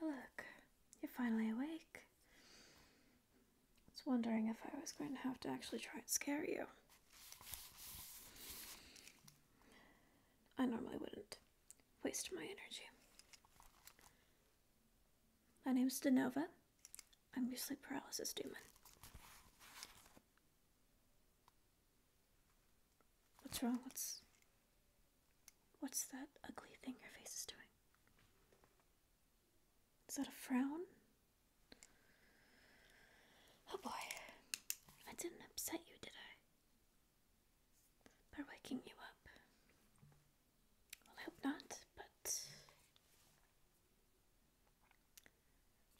look, you're finally awake. I was wondering if I was going to have to actually try and scare you. I normally wouldn't waste my energy. My name is Denova. I'm your sleep paralysis demon. What's wrong? What's what's that ugly thing your face is doing? Is that a frown? Oh boy. I didn't upset you, did I? By waking you up. I hope not, but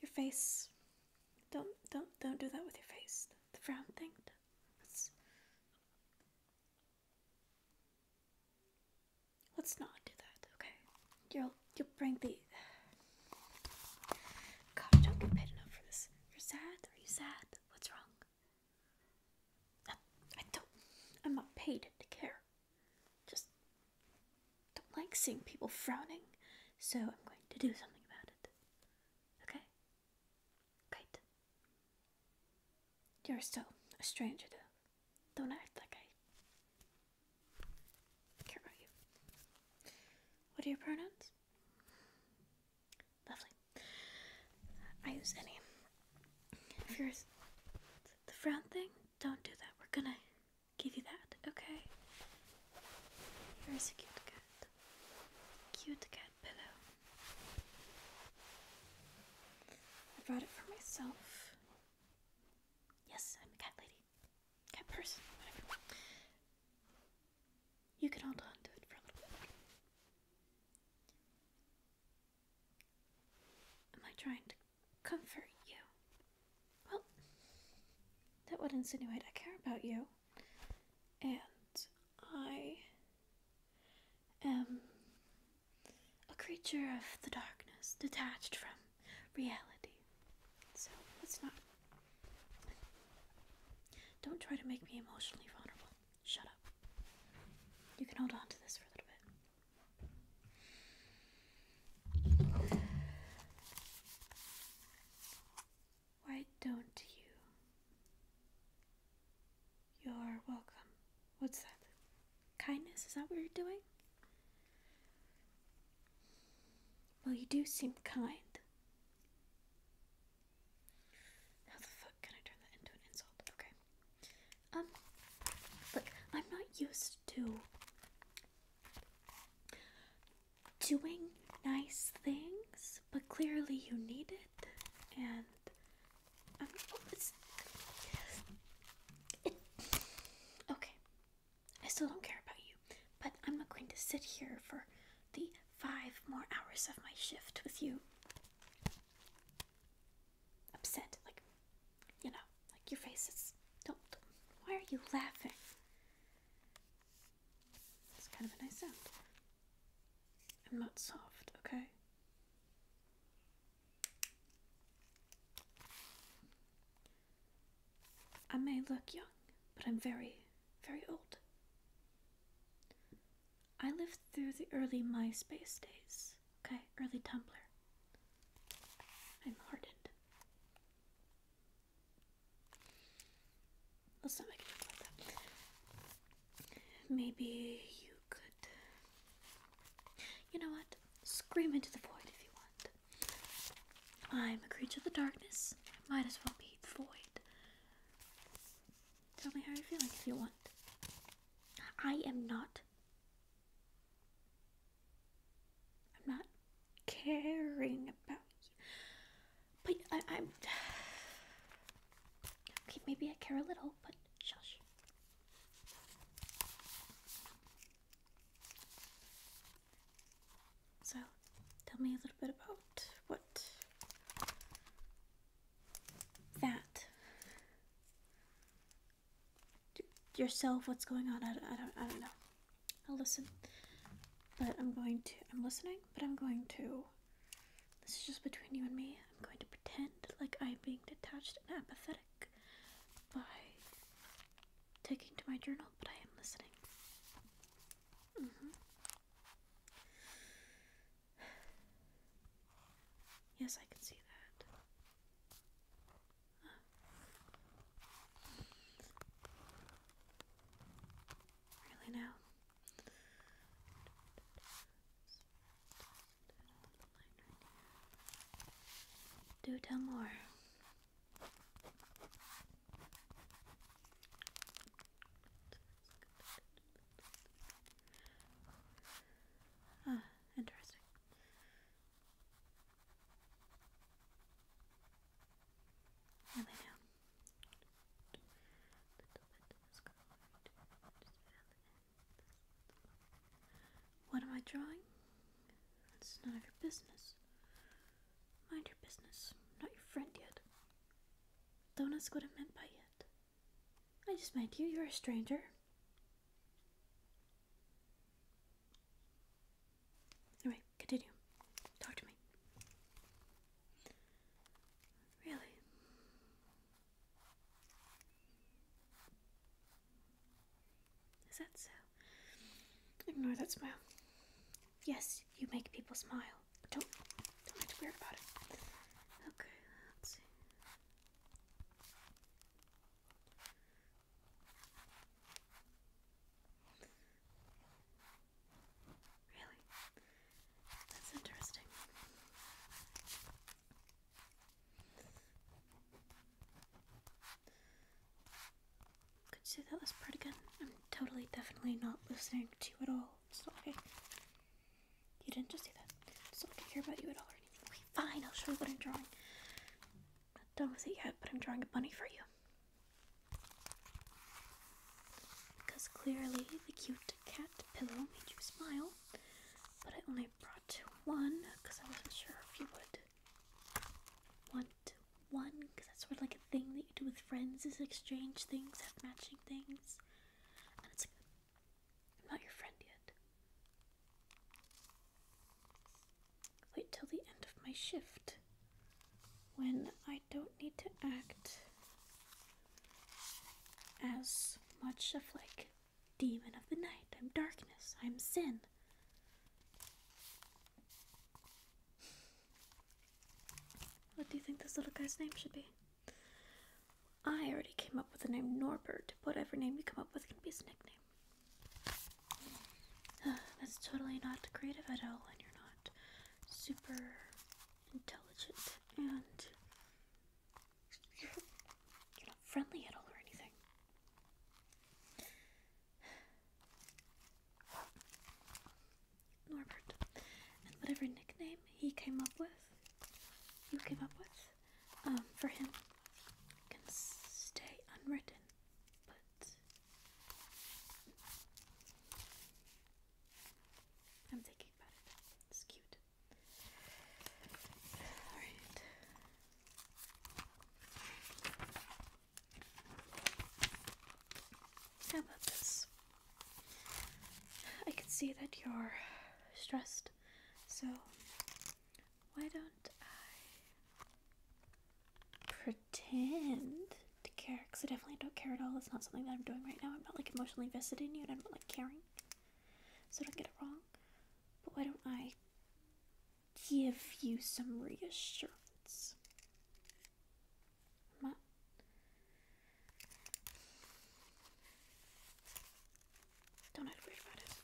your face. Don't don't don't do that with your face. The frown thing. Let's let's not do that. Okay, you'll you'll bring the. God, I don't get paid enough for this. You're sad. Are you sad? What's wrong? I don't. I'm not paid to care. Just don't like seeing people frowning, so I'm going to do something about it. Okay? Great. You're still a stranger, though. Don't act like I care about you. What are your pronouns? Lovely. I use any. If you're the frown thing, don't do that. We're gonna give you that, okay? Here's a cute cat. Cute cat pillow. I brought it for myself. Yes, I'm a cat lady. Cat person, whatever. You can hold on it for Am I trying to comfort you? Well, that would insinuate I care about you. And I am a creature of the darkness, detached from reality. So let's not. Don't try to make me emotionally vulnerable. Shut up. You can hold on to this for a little bit. Why don't you? You're welcome. What's that? Kindness? Is that what you're doing? Well, you do seem kind. How the fuck can I turn that into an insult? Okay. Um, look, I'm not used to doing nice things, but clearly you need it, and i oh, okay. I still don't care about you, but I'm not going to sit here for the five more hours of my shift with you. Upset, like, you know, like your face is. Don't, why are you laughing? It's kind of a nice sound. I'm not soft, okay? I may look young, but I'm very, very old. I lived through the early MySpace days, okay? Early Tumblr. I'm hardened. Let's not make a joke about that. Maybe you could. You know what? Scream into the void if you want. I'm a creature of the darkness. I might as well be void. Tell me how you're feeling if you want. I am not. I'm not caring about you. But I, am Okay, maybe I care a little, but shush. So, tell me a little bit about what that yourself. What's going on? I don't, I don't, I don't know. I'll listen, but I'm going to. I'm listening, but I'm going to. This is just between you and me. I'm going to pretend like I'm being detached and apathetic by taking to my journal, but I am listening. Mm -hmm. Yes, I can see that. Really now? Do tell more. Ah, interesting. What am I drawing? It's none of your business. Mind your business. not your friend yet. Don't ask what I meant by yet. I just met you. You're a stranger. Anyway, continue. Talk to me. Really? Is that so? Ignore that smile. Yes, you make people smile. Don't don't act about it. Okay, let's see. Really? That's interesting. Could you say that last part again. I'm totally, definitely not listening to you at all. It's not okay. You didn't just say that. It's not okay hear about you at all or anything. Okay, fine, I'll show you what I'm drawing. not done with it yet, but I'm drawing a bunny for you. Because clearly the cute cat pillow made you smile, but I only brought one because I wasn't sure if you would want one because that's sort of like a thing that you do with friends is exchange things, have matching things. And it's like, I'm not your friend yet. Wait till the end of my shift when I don't need to act as much of like demon of the night. I'm darkness. I'm sin. What do you think this little guy's name should be? I already came up with the name Norbert. Whatever name you come up with can be his nickname. that's totally not creative at all, and you're not super intelligent, and you're not friendly at all or anything. Norbert. And whatever nickname he came up with, you came up with, um, for him can stay unwritten. But I'm thinking about it. It's cute. Alright. How about this? I can see that you're stressed, so why don't I pretend to care? Because I definitely don't care at all. It's not something that I'm doing right now. I'm not like emotionally invested in you and I'm not like caring. So don't get it wrong. But why don't I give you some reassurance. Don't act weird about it.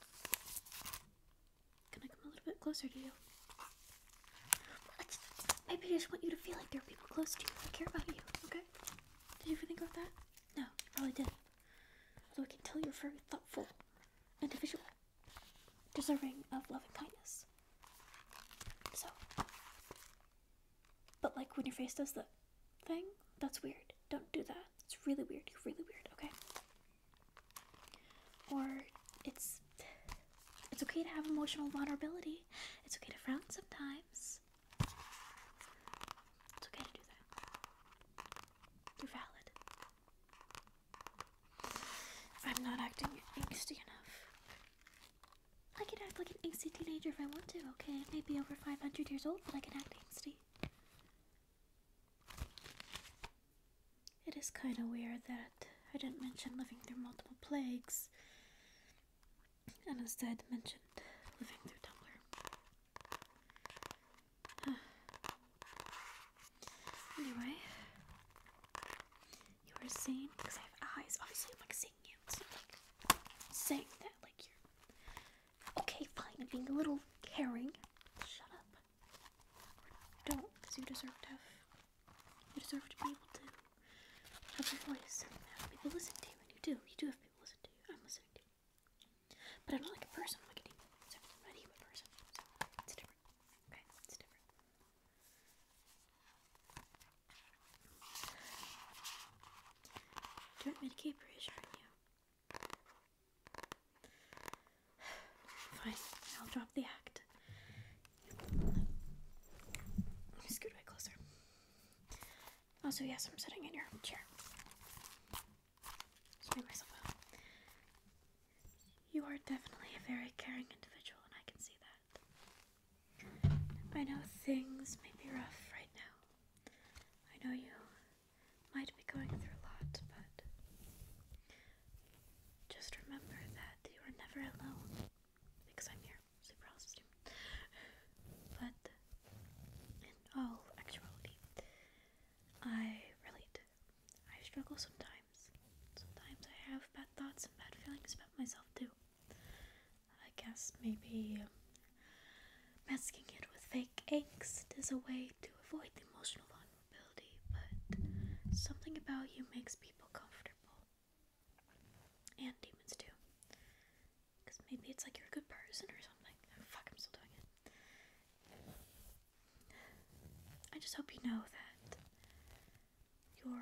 Can I come a little bit closer to you? Maybe I just want you to feel like there are people close to you that care about you, okay? Did you ever think of that? No, you probably did. Although I can tell you're a very thoughtful individual deserving of love and kindness. So, but like when your face does the thing, that's weird. Don't do that. It's really weird. You're really weird, okay? Or it's it's okay to have emotional vulnerability. It's okay to frown sometimes. It's okay to do that. You're valid. I'm not acting angsty enough. I can act like an angsty teenager if I want to, okay? maybe over 500 years old, but I can act angsty. It is kind of weird that I didn't mention living through multiple plagues and instead mentioned living through Tumblr anyway, you were saying because I have eyes. Obviously, I'm like seeing you. saying that like you're okay. Fine, I'm being a little caring. Shut up. don't, because you deserve to have. You deserve to be able to have your voice and have people listen to you. And you do. You do have people listen to you. I'm listening to you. But I'm not like a person. I'm like an email. So person. it's different. Do you want me to keep reassuring you? Fine, I'll drop the act. Scoot way closer. Also, yes, I'm sitting in your chair. You are definitely a very caring individual, and I can see that. I know things may be rough right now. I know you might be going through a lot, but just remember that you are never alone because I'm here. Sleep paralysis But in all actuality, I relate I struggle sometimes. Sometimes I have bad thoughts and bad feelings about myself too. I guess maybe um, masking it with fake angst is a way to avoid the emotional vulnerability, but something about you makes people comfortable. And demons too. Because maybe it's like you're a good person or something. fuck, I'm still doing it. I just hope you know that you're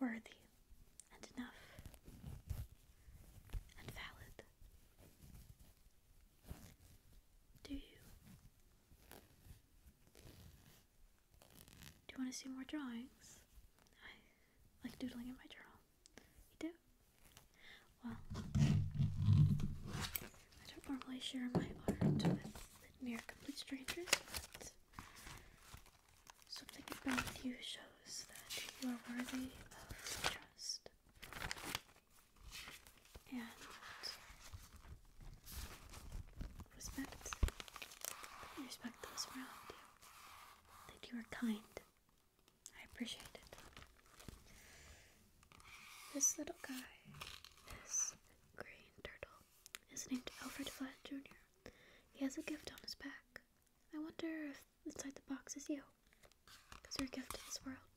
worthy and enough and valid. Do you? Do you want to see more drawings? I like doodling in my journal. You do? Well, I don't normally share my art with mere complete strangers, but something about you shows that you are worthy of trust. And respect. Respect those around you. That you are kind I appreciate it. This little guy, this green turtle, is named Alfred Flat Jr. He has a gift on his back. I wonder if inside the box is you. Because your gift to this world.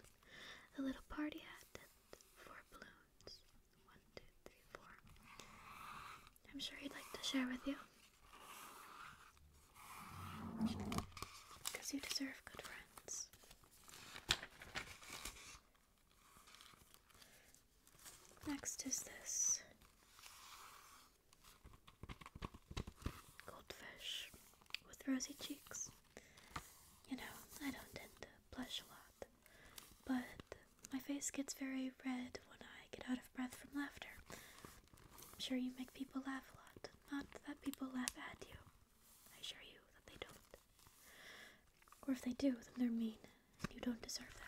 A little party hat and four balloons. One, two, three, four. I'm sure he'd like to share with you. Because you deserve good friends. Next is this goldfish with rosy cheeks. You know, I don't tend to blush a lot, but my face gets very red when I get out of breath from laughter. I'm sure you make people laugh a lot, not that people laugh at you. I assure you that they don't. Or if they do, then they're mean, and you don't deserve that.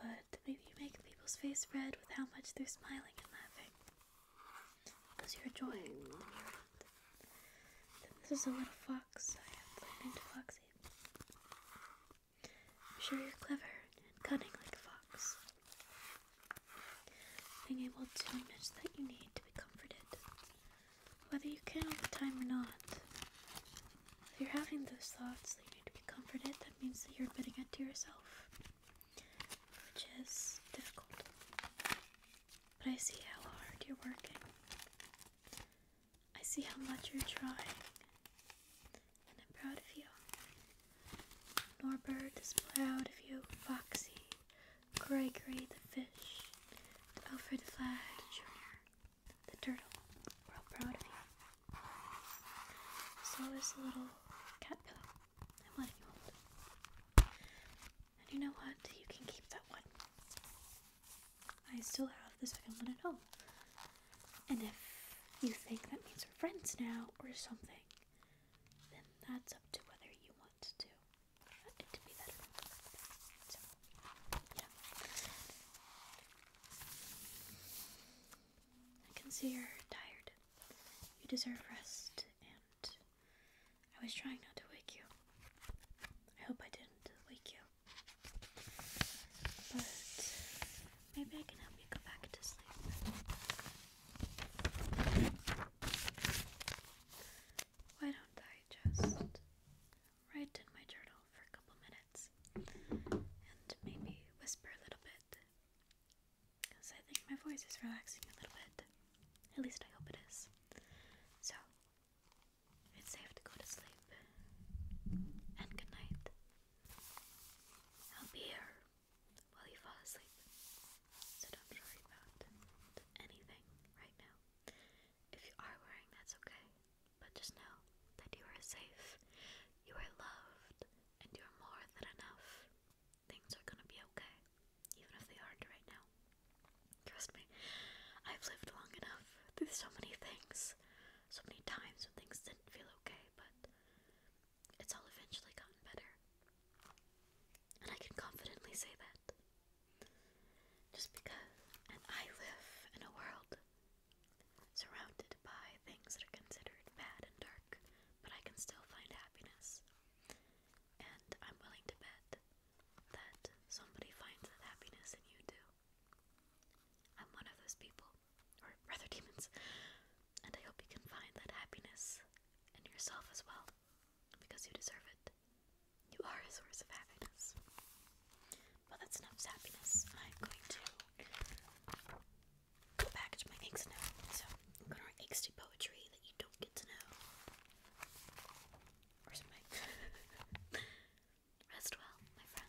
But maybe you make people's face red with how much they're smiling and laughing. Because you're joy, Then this is a little fox I have named Foxy. I'm sure you're clever and cunning like a fox being able to admit that you need to be comforted, whether you can all the time or not. If you're having those thoughts that you need to be comforted, that means that you're admitting it to yourself, which is difficult. But I see how hard you're working. I see how much you're trying, and I'm proud of you. Norbert is proud of you, Foxy, Gregory the fish, Alfred the Jr., the turtle. We're all proud of you. So is the little cat pillow. And you know what? You can keep that one. I still have the second one at home. And if you think that means we're friends now or something, then that's up to whether you want to I can see you're tired. You deserve rest, and I was trying not to wake you. I hope I didn't wake you. But Maybe I can help you go back to sleep. Why don't I just write in my journal for a couple minutes and maybe whisper a little bit? Because I think my voice is relaxing a little bit. At least I hope it is. So, it's safe to go to sleep. And good night. I'll be here while you fall asleep. So don't worry about anything right now. If you are worrying, that's okay. But just know that you are safe, you are loved, and you are more than enough. Things are gonna be okay, even if they aren't right now. Trust me, I've lived long enough through so many things, so many times when things didn't feel okay, but it's all eventually gotten better. And I can confidently say that. Just because, I live in a world surrounded by things that are considered bad and dark, but I can still find happiness. And I'm willing to bet that somebody finds that happiness and you do. I'm one of those people or rather demons, and I hope you can find that happiness in yourself as well, because you deserve it. You are a source of happiness. Well, that's enough happiness. I'm going to go my eggs now. So, I'm going to write eggs to poetry that you don't get to know. Rest well, my friend.